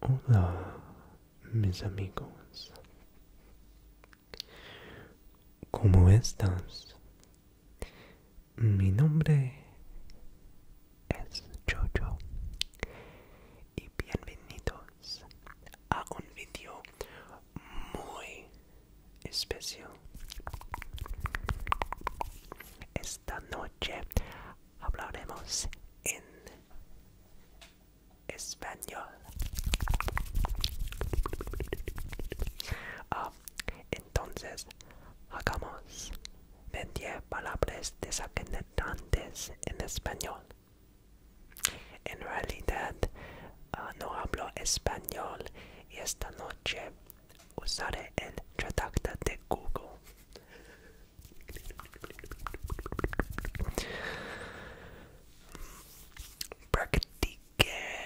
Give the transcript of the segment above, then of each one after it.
Hola, mis amigos. ¿Cómo estás? Mi nombre es Jojo y bienvenidos a un vídeo muy especial. Esta noche hablaremos en español. Ah, entonces, hagamos 20 palabras desacreditantes en español. En realidad, ah, no hablo español y esta noche usaré el traductor de Google. Practiqué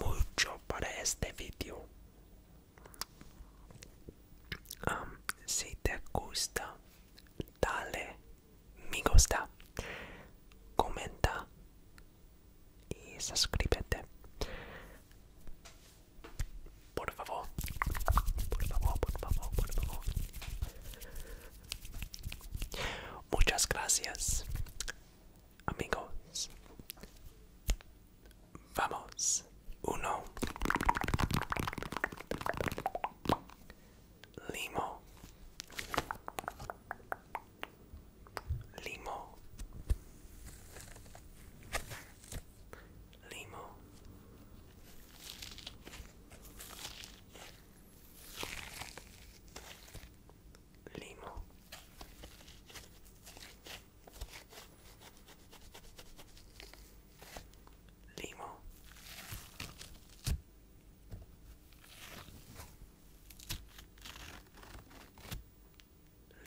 mucho para este vídeo si te gusta, dale me gusta, comenta y suscríbete. Por favor, por favor, por favor, por favor. Muchas gracias, amigos. Vamos. Uno. Limo. Limo. Limo. Limo. Limo.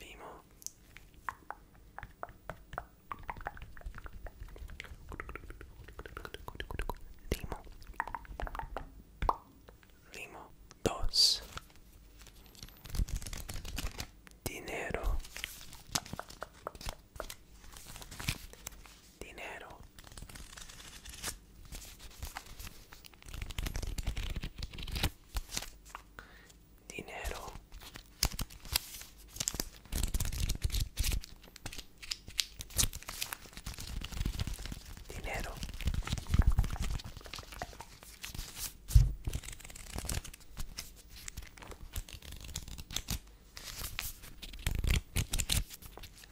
Limo. Limo. limo, dos. Dinero, dinero. Dinero. Dinero.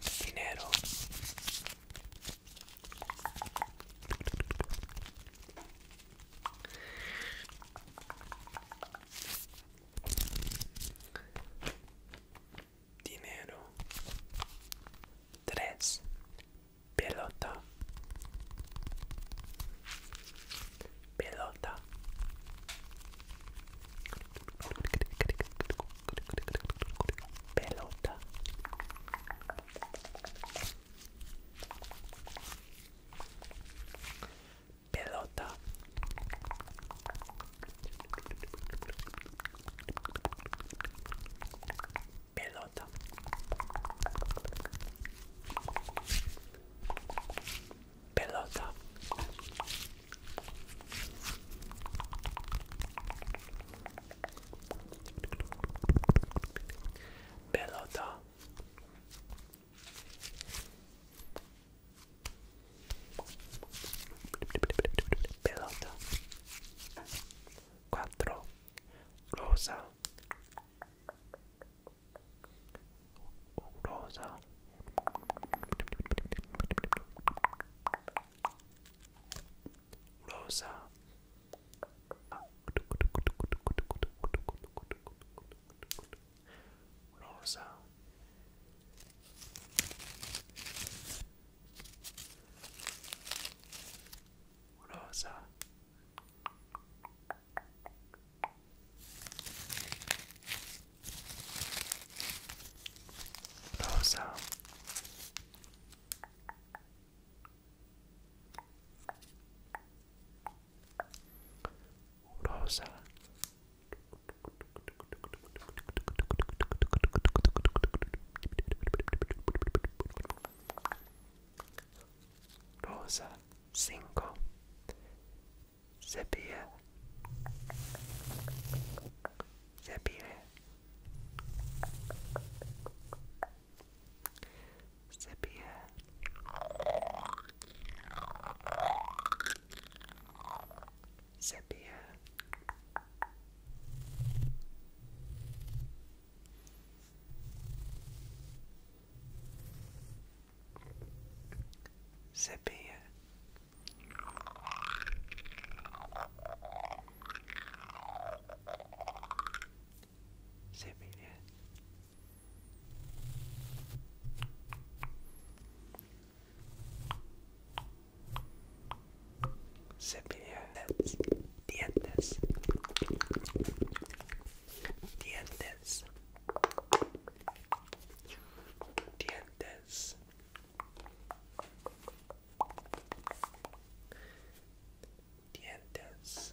Dinero. Dinero. Tres. pelota pelota pelota pelota pelota pelota. Pelota. Pelota. Pelota. Quattro Rosa Rosa Rosa rosa. Rosa. Rosa. Rosa cinco Sepia Sepia Sepia Sepia Sepia. Sepia. Cepillarles dientes. Dientes. Dientes. Dientes. Dientes.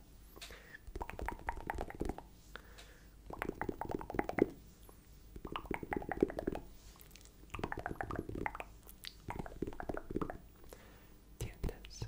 Dientes. Dientes.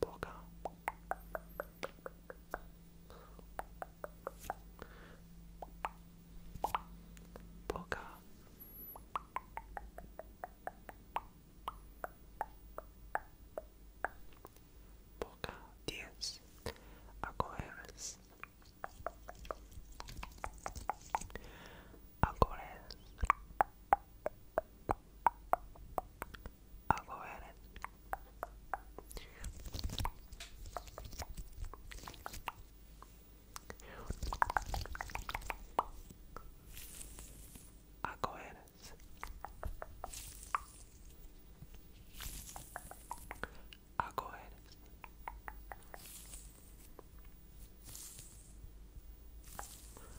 Boca. Boca. Boca. Diez. Agores. Agores. I'll go ahead and I'll go ahead and I'll go ahead and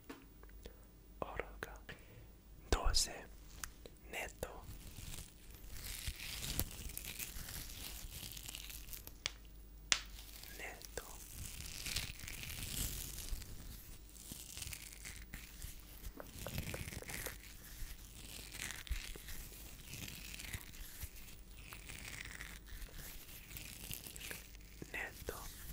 Oroga. Doce. Neto. Neto. Neto.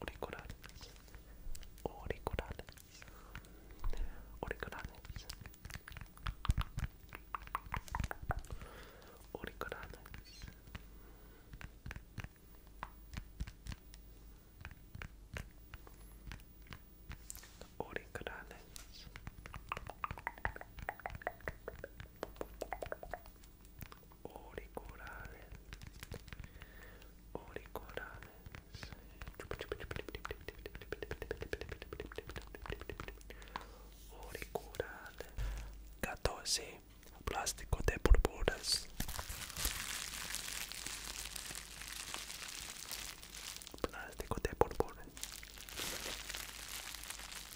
auriculares, auriculares, auriculares, auriculares. Auriculares auriculares, auriculares. Auriculares. 14. Plástico de burburas. Plástico de burburas.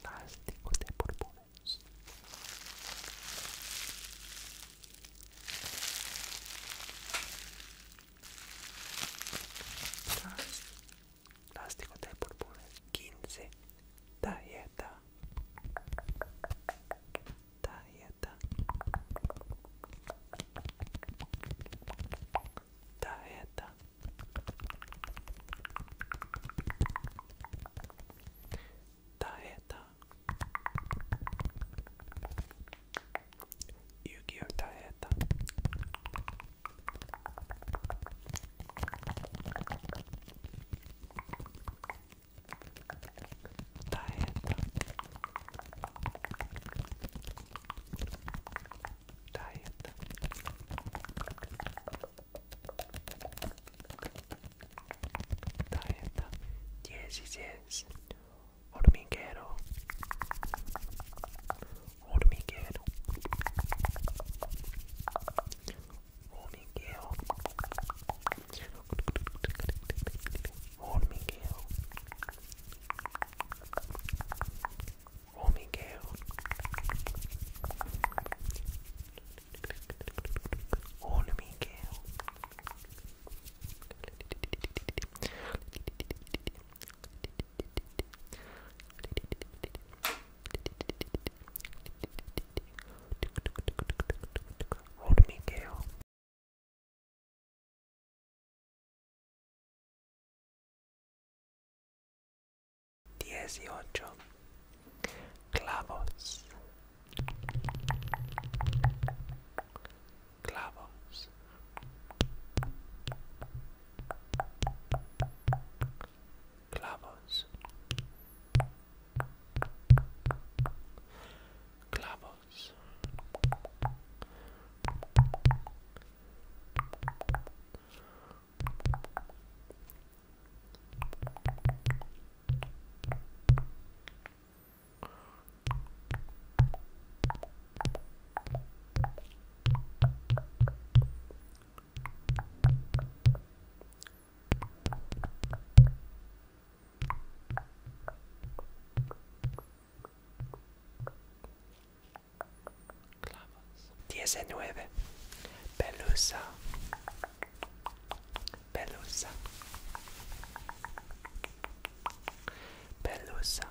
Plástico de burbujas Plástico de burbujas 15. Dieta. yetta, yetta. Dieta. Dieta. Yu-Gi-Oh! Dieta. Dieta. Dieta. Dieta. Yes, yes, yes. Hormiguero. Hormiguero. Hormigueo. Hormigueo. Hormigueo. Hormigueo. Hormigueo. Roll to me, Gale. Dieciocho clavos, clavos, clavos, clavos Diecinueve. Pelusa. Pelusa. Pelusa. Pelusa.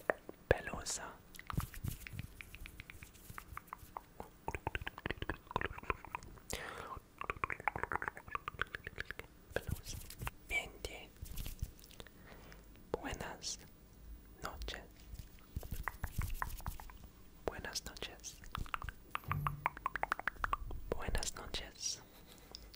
pelosa. pelosa. Uh, Buenas noches. Buenas noches. Buenas noches.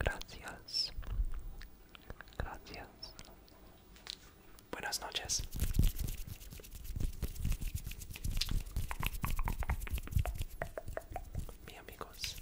Gracias. Gracias. Buenas noches. Mi amigos.